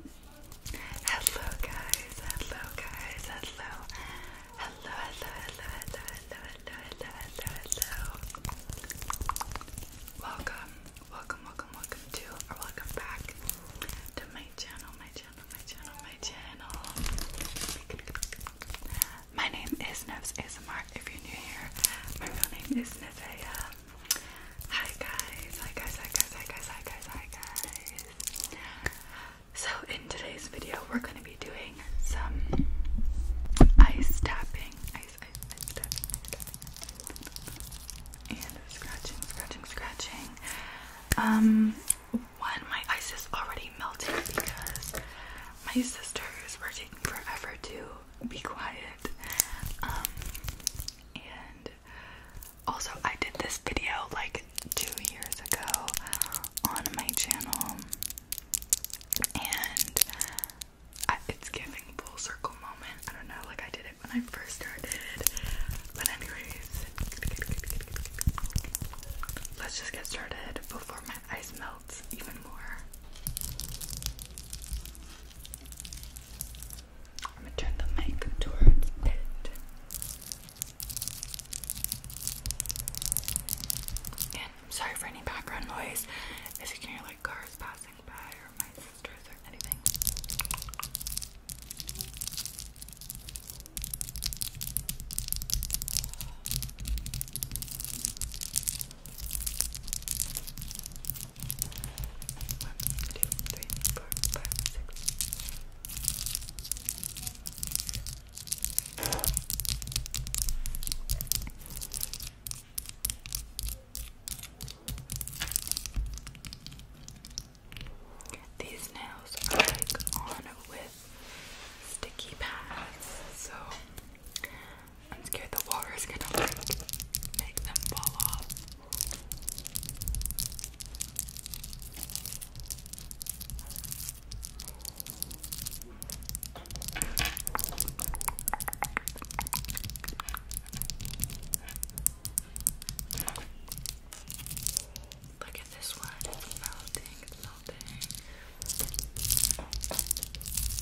Hello guys, hello guys, hello. Hello, hello, hello, hello, hello, hello, hello, hello, hello. Welcome, welcome, welcome, welcome to or welcome back to my channel, my channel, my channel, my channel. My name is Nevs ASMR. If you're new here, my real name is Neveya. Hi guys, hi guys, hi guys, hi guys, hi guys, hi guys. So in today's video we're gonna be doing some ice tapping. Ice, ice, ice tapping, ice tapping. And scratching, scratching, scratching. Um one, my ice is already melting because my sisters were taking forever to be quiet. Um and also, I did this video like two years ago on my channel, and it's giving full circle moment. I don't know, like I did it when I first started, but anyways, let's just get started before my ice melts even more. I'm gonna turn the mic towards it. And I'm sorry for any background noise if you can hear like cars passing by or my sisters or anything. One, two, three, four, five, six. These nails are like on with sticky pads, so I'm scared the water is gonna like make them fall off. Look at this one, melting, melting.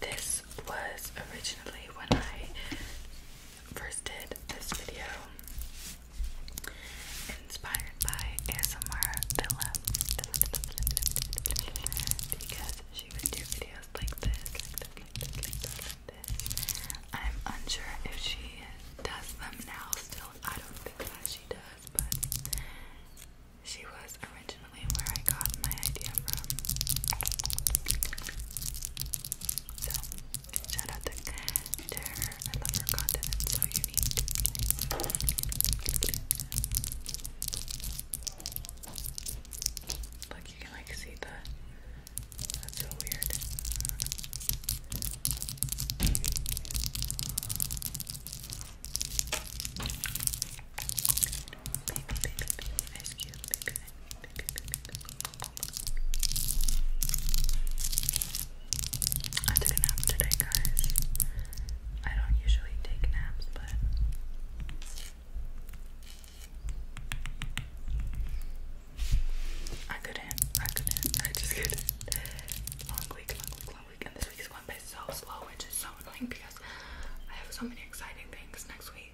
This was originally when I first did this video, inspired by ASMR Villa because she would do videos I'm unsure if she does them now still. I don't think that she does, but she was originally where I got my idea from. So, shout out to her. I love her content, it's so unique. Look, you can like see the. That's so weird. Baby, baby, baby, ice cube, baby, baby, baby. I took a nap today, guys. I don't usually take naps, but I couldn't, I couldn't, I just couldn't. Long week, long week, long week, and this week is going by so slow, which is so annoying because I have so many exciting things next week.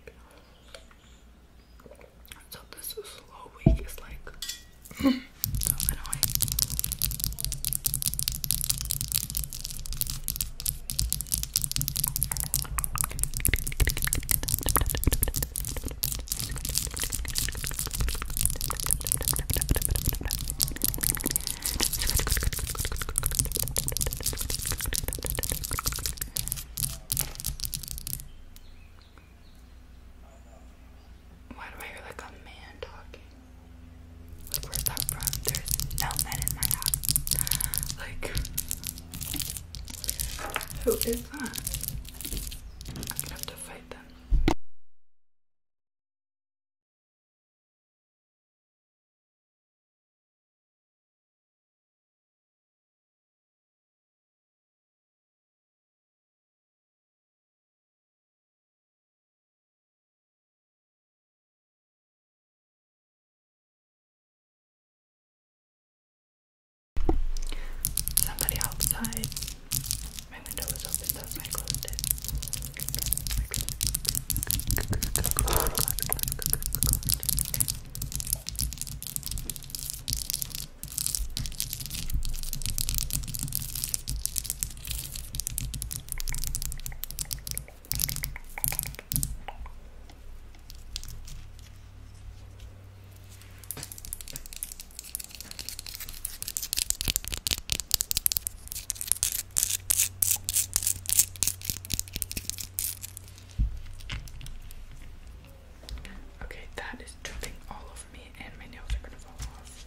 So this slow week is like so annoying. Why do I hear like a man talking? Like, where's that from? There's no men in my house. Like, who is that? I'm gonna have to fight them. Somebody outside. My window was open, so I closed Okay, that is dripping all over me, and my nails are gonna fall off.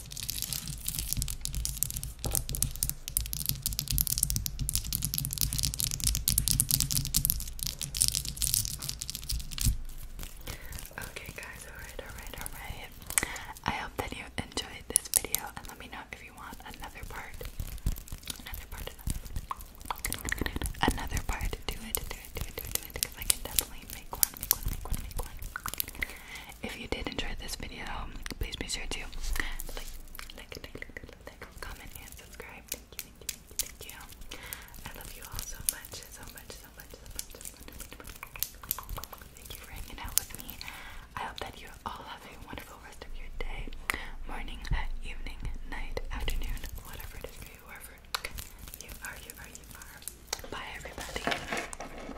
Okay, guys, alright, alright, alright. I hope that you enjoyed this video and let me know if you want another part. Another part, another, another part. Do it, do it, do it, do it, do it, because I can definitely make one, make one, make one, make one. If you did enjoy this video, please be sure to like, like, like, like, like comment, and subscribe. Thank you, thank you, thank you, I love you all so much, so much, so much, so much, Thank you for hanging out with me. I hope that you all have a wonderful rest of your day, morning, uh, evening, night, afternoon, whatever it is for you, wherever you are, you are, you are. Bye, everybody.